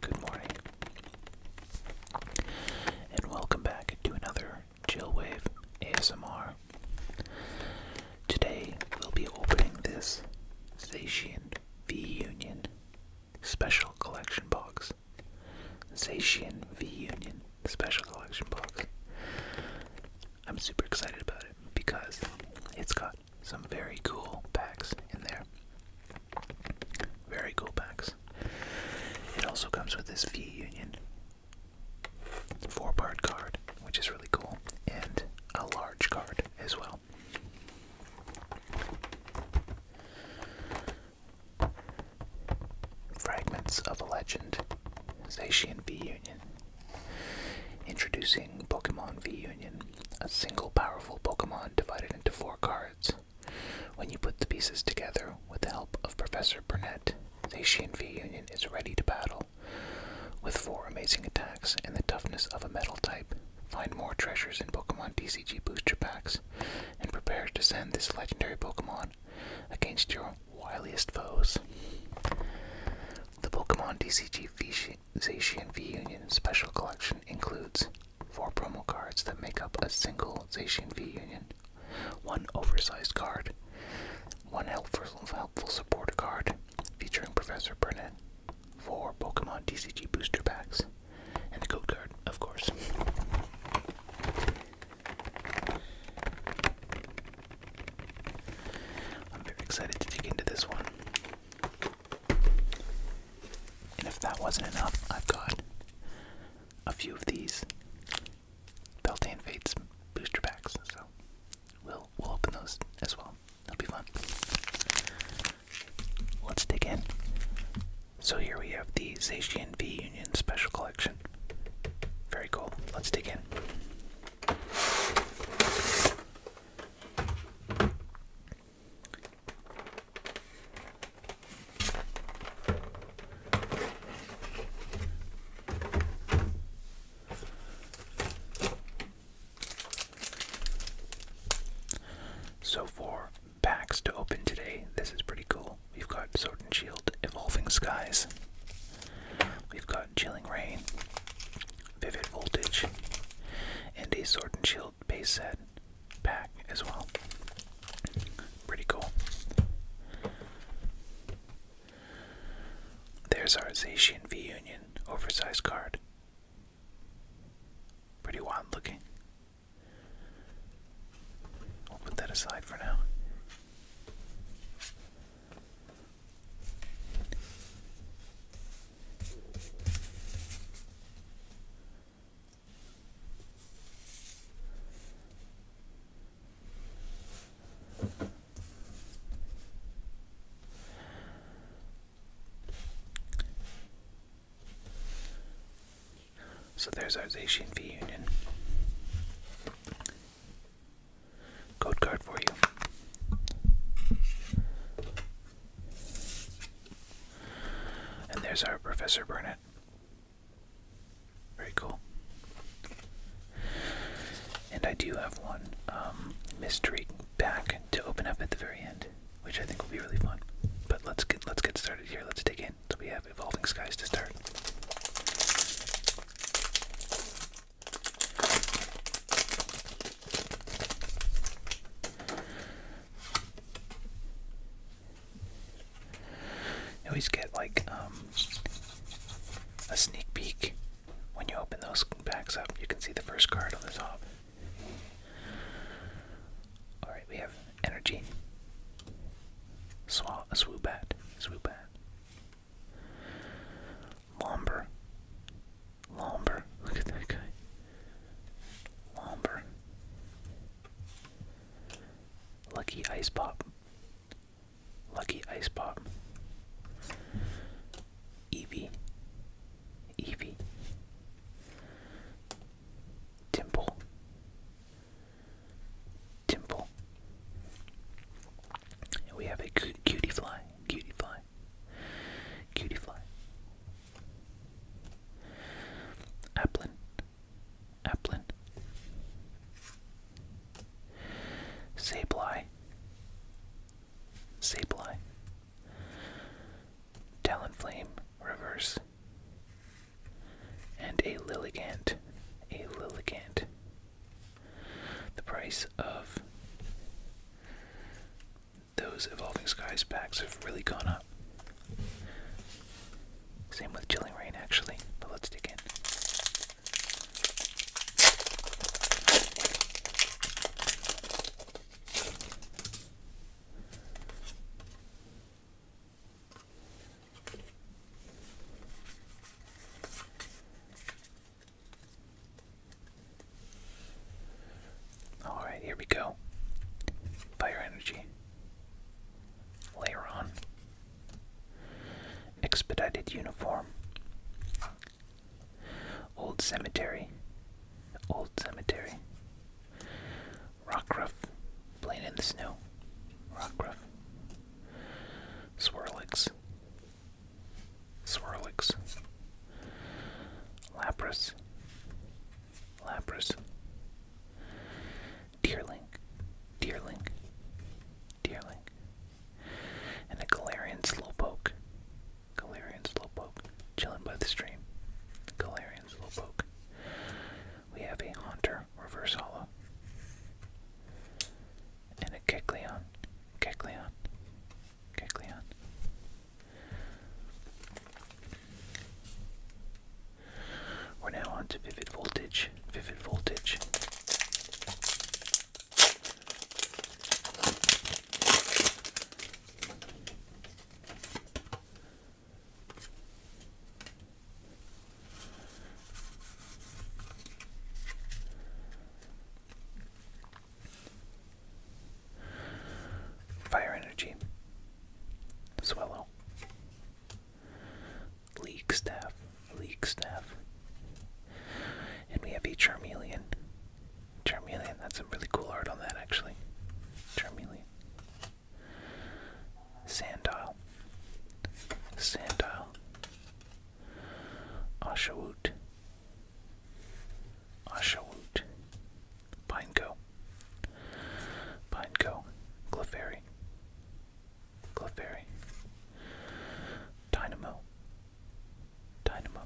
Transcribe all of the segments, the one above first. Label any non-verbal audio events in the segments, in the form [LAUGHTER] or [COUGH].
Good morning. And welcome back to another Chillwave ASMR. Today we'll be opening this Zacian V Union Special Collection Box. Zacian V Union Special Collection Box. I'm super excited about it because it's got some very cool packs in there. Very cool packs. It also comes with this V Union four part card, which is really cool, and a large card as well. Fragments of a Legend, Zacian V Union, Introducing Pokemon V Union, a single powerful Pokemon divided into four cards. When you put the pieces together with the help of Professor Burnett, Zacian V Union is ready to battle. With four amazing attacks and the toughness of a metal type, find more treasures in Pokemon TCG booster packs and prepare to send this legendary Pokemon against your wiliest foes. The Pokemon TCG Zacian V Union Special Collection includes four promo cards that make up a single Zacian V Union, one oversized card, one helpful, helpful supporter card featuring Professor Burnett, four Pokemon DCG booster packs, and a code card, of course. I'm very excited to dig into this one. And if that wasn't enough, I've got a few of these Beltane Fates booster packs, so we'll we'll open those as well. That'll be fun. Let's dig in. So here we have the Zacian V Union Special Collection. Very cool. Let's dig in. So for packs to open today, this is pretty cool. We've got Sword and Shield, Evolving Skies. We've got Chilling Rain, Vivid Voltage, and a Sword and Shield base set pack as well. Pretty cool. There's our Zacian V Union oversized card. Pretty wild looking. We'll put that aside for now. So there's our Zacian V union code card for you. And there's our Professor Burnett. Very cool. And I do have one um, mystery back to open up at the very end, which I think will be really fun. But let's get let's get started here. Let's dig in. So we have evolving skies to start. You always get like um, a sneak peek when you open those packs up. You can see the first card on the top. Alright, we have Energy, Swoop Swa swoop Swoobat, Lumber, Lomber. Look at that guy. Lomber. Lucky Ice Pop. Lucky Ice Pop. Eevee. Eevee. Dimple. Dimple. we have a cutie fly. Cutie Fly. Cutie Fly. Applin. Applin. Sableye. Sableye. Talonflame reverse. And a Lilligant. A Lilligant. The price of those Evolving Skies packs have really gone up. Same with Chilling Rain, actually, but let's dig in. Alright, here we go. Fire energy. Layer on. Expedited uniform. Old cemetery. Old cemetery. Rockruff. ruff. Playing in the snow. Rockruff. Swirlix. Swirlix, Lapras, Lapras, Deerling, Deerling, Deerling, and a Galarian Slowpoke. Galarian Slowpoke, chilling by the stream. Galarian Slowpoke. We have a Hunter Reverse Hollow and a Kecleon. Kecleon. Kecleon. We're now on Vivid Voltage. Vivid Voltage. Fire Energy, Swallow, League Staff, League Staff. And we have a Charmeleon. Charmeleon, that's some really cool art on that actually. Charmeleon. Sandile. Sandile. Ashawoot. Ashawoot. Pineco, Pineco, Clefairy, Clefairy, Dynamo, Dynamo.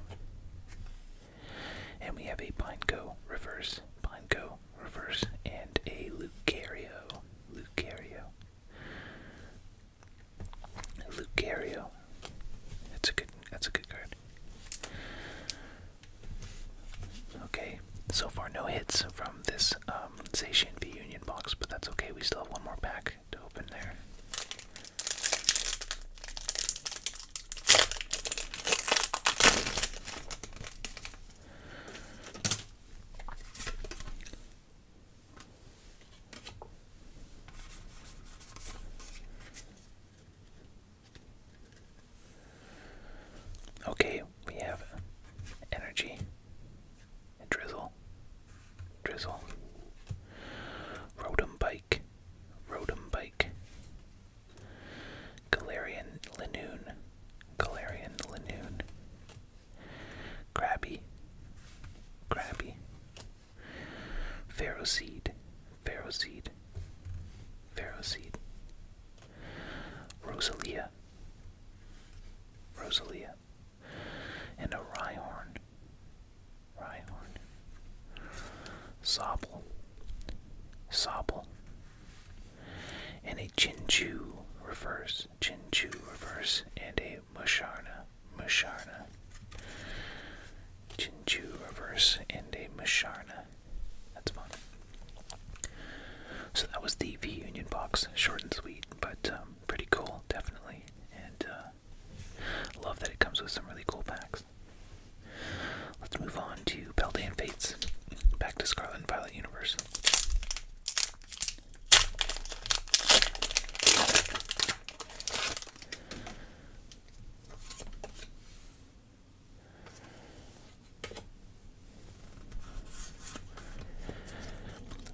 And we have a Pineco reverse, Pineco reverse, and a Lucario, Lucario. Lucario. That's a good that's a good card. Okay, so far no hits from this um V Union box, but that's okay. We still have one more pack to open there. Okay, we have energy, drizzle, drizzle, Rotom Bike, Rotom Bike, Galarian Lanoon, Galarian Lanoon, Crabby, crabby. Pharaoh seed, Pharaoh Rosalia, Rosalia. And a rye horn, rye horn. Sobble, sobble. And a chinchu reverse, chinchu reverse, and a Musharna, Musharna. Jinju reverse and Musharna. That's fun. So that was the V Union box, short and sweet, but um, pretty cool, definitely. And uh, love that it comes with some really cool packs. Let's move on to Beltane Fates. Back to Scarlet Violet Universe.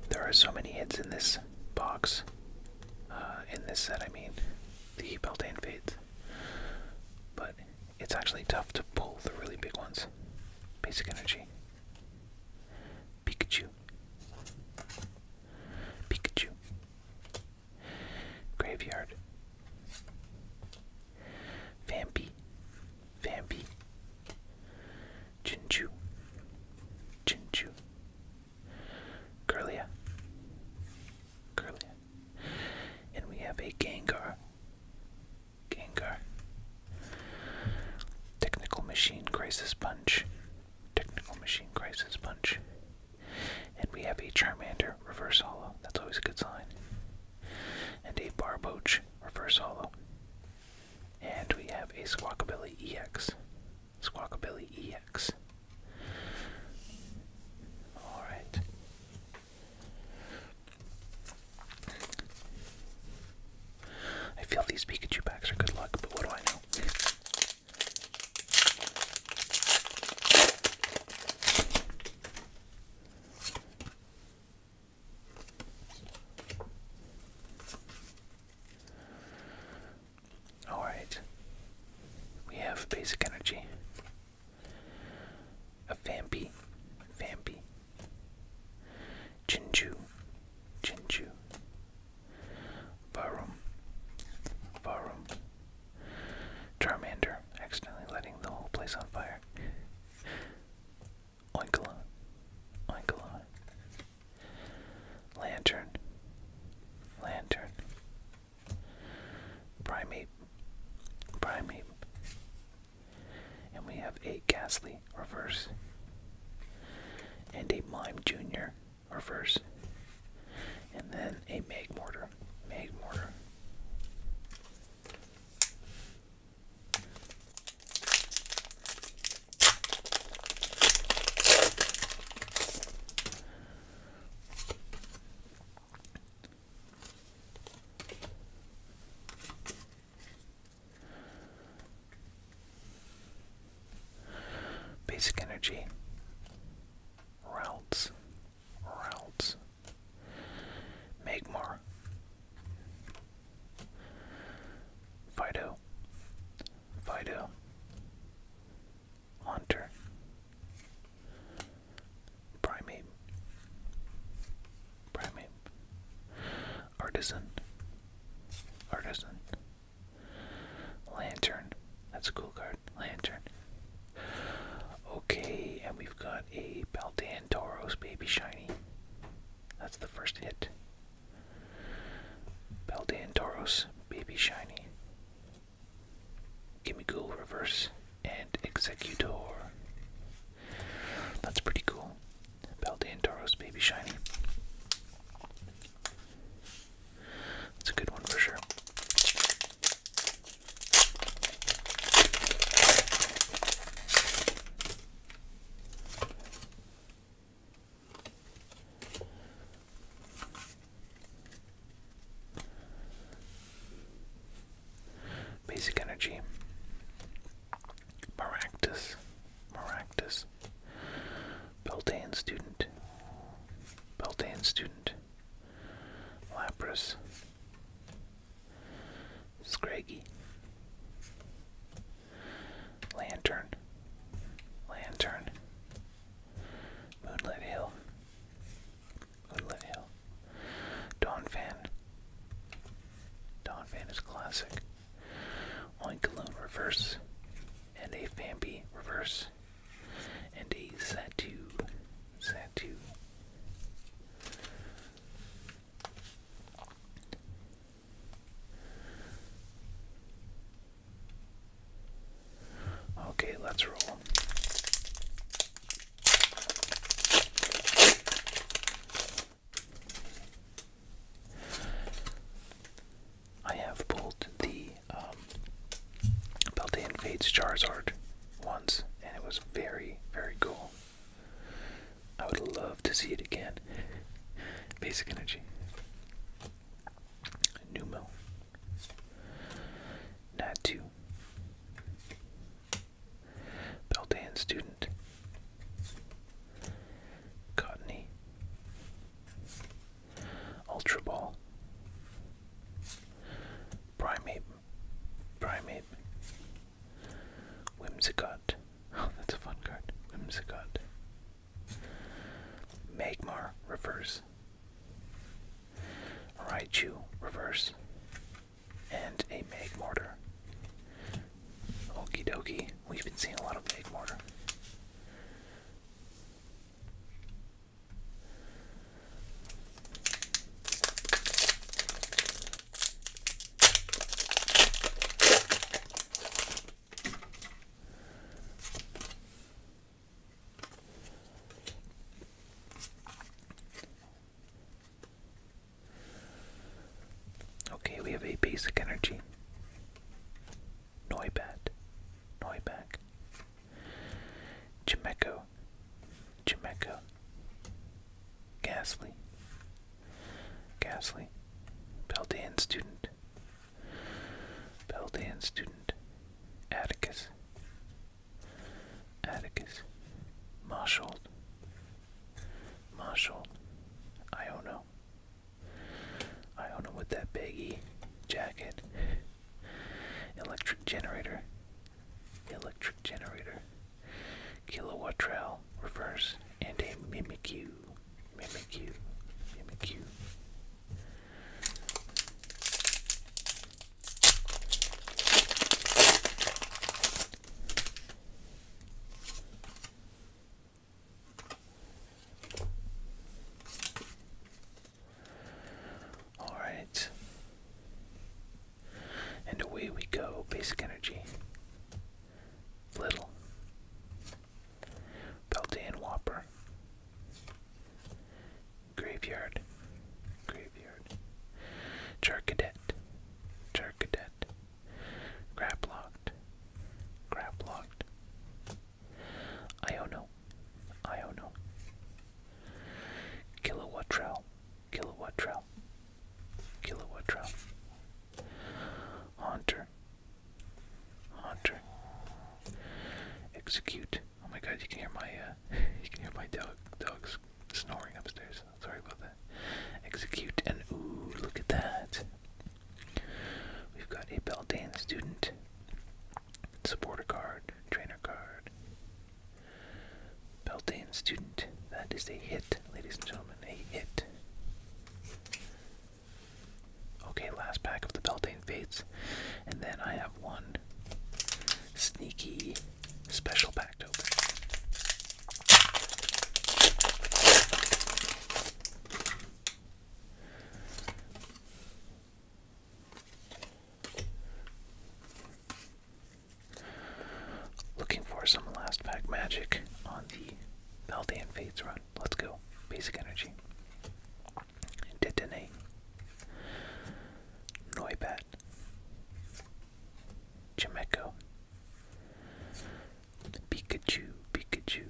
There are so many hits in this box, uh, in this set, I mean, the Beltane Fates, but it's actually tough to pull the really big ones. Basic Energy, Pikachu. Pikachu. Graveyard. Vampy. Vampy. Chinchu. Chinchu. Curlia. Curlia. And we have a Gengar. Gengar. Technical Machine Crisis Punch. Technical Machine Crisis Punch. And we have a Charmander Reverse Hollow. That's always a good sign. And a Barboach Reverse Hollow. And we have a Squawkabilly EX. Squawkabilly EX. Alright. I feel these Pikachu packs are good luck, but what do I know? Alright, we have basic energy. A Vampy, Vampy, Jinju, Jinju, Varum, Varum, Charmander, accidentally letting the whole place on fire. Oinkalon, Oinkalon, Lantern, Lantern, Primate, Primate, and we have a Gasly reverse and a Mime Jr. reverse. And then a Meg Mortar. Meg Mortar. Basic energy. Routes. Routes. more. Fido. Fido. Hunter. Primate primate, artisan, artisan, lantern. That's a cool card, lantern. Okay, and we've got a Baldan Tauros baby shiny. That's the first hit. Baldan Tauros baby shiny. Gimme Ghoul reverse and executor. That's pretty cool. Beldane Tauros Baby Shiny. That's a good one for sure. Basic energy. Maractus. Maractus. Beltane student. Beltane student. Lapras. Scraggy. Lantern. Lantern. Moonlit Hill. Moonlit Hill. Dawn Fan. Dawn Fan is classic one Cologne reverse, and a Fambi reverse, and a Satu. Satu. Okay, let's roll. I have pulled the um, Beltane Fates Charizard once, and it was very, very cool. I would love to see it again. Basic Energy. Numo. Natu. Beltane student. Cottony. Ultra Ball. Primate. Primate. Whimsicott. [LAUGHS] Oh, that's a fun card. Whimsicott. Magmar, reverse. Right Raichu, reverse and a mag mortar. Okey dokey. we've been seeing a lot of mag mortar. Okay, we have a basic energy. Noibat. Noiback. Chimeco. Chimeco. Gasly. Gasly. Beldan student. Beldan student. Atticus. Atticus. Marshold. Marshall, not know with that baggy jacket, electric generator, electric generator, kilowatt trail, reverse, and a Mimikyu, Mimikyu, Mimikyu. All right. And away we go. Basic energy. Little. Beltane Whopper. Graveyard. Graveyard. Char Cadet grab locked, grab locked. I don't know, I don't Execute. Oh my God! You can hear my uh, [LAUGHS] you can hear my dog dog snoring upstairs. Sorry about that. Execute and ooh, look at that. We've got a Beldane student, supporter card, trainer card. Beldane student. That is a hit, ladies and gentlemen. A hit. Okay, last pack of the Beldane Fates. And then I have one sneaky special pack. Looking for some last pack magic on the Paldean fades run. Let's go. Basic energy. Detonate. Noibat that. Chimeko. Pikachu, Pikachu.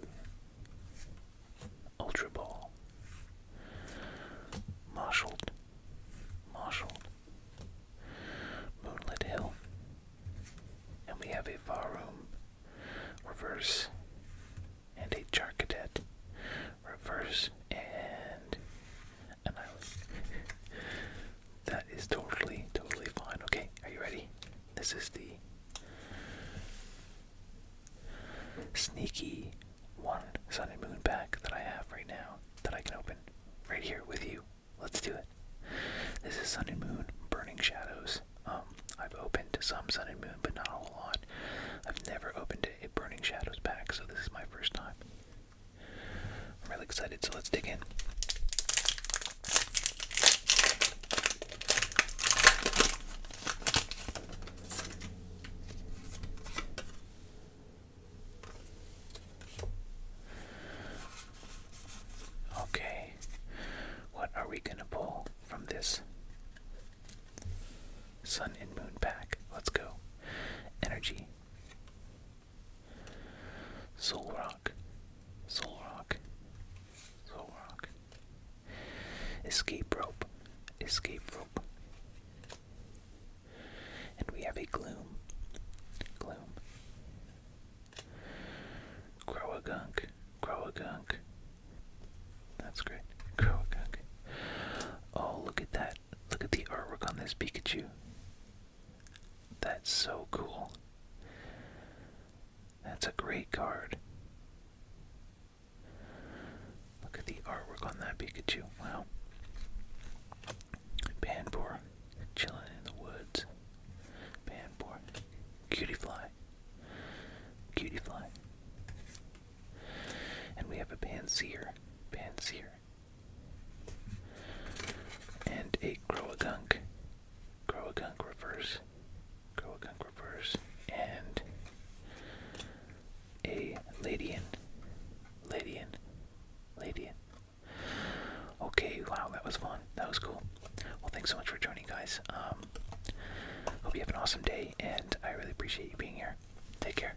Ultra Ball. Marshall, Marshall, Moonlit Hill. And we have a Varum reverse and a Charcadet reverse and an island. [LAUGHS] that is totally, totally fine. Okay, are you ready? This is the sneaky one sun and moon pack that I have right now that I can open right here with you. Let's do it. This is Sun and Moon Burning Shadows. Um, I've opened some Sun and Moon, but not a whole lot. I've never opened a Burning Shadows pack, so this is my first time. I'm really excited, so let's dig in. Okay, what are we going to pull from this? Sun and Moon pack. Let's go. Energy. Soul Rock, Soul Rock, Escape rope, escape rope. And we have a gloom, gloom. Grow a gunk, grow a gunk. That's great. Grow Oh, look at that. Look at the artwork on this Pikachu. That's so cool. That's a great card. Look at the artwork on that Pikachu. Wow. Banbor, chilling in the woods. Banbor, cutie fly, cutie fly. And we have a Pansier. Pansier. And a Groagunk. Groagunk reverse. Groagunk reverse. And a Ladian. Ladian. Ladian. Okay, wow, that was fun. That was cool. Well, thanks so much for joining, guys. Um, hope you have an awesome day, and I really appreciate you being here. Take care.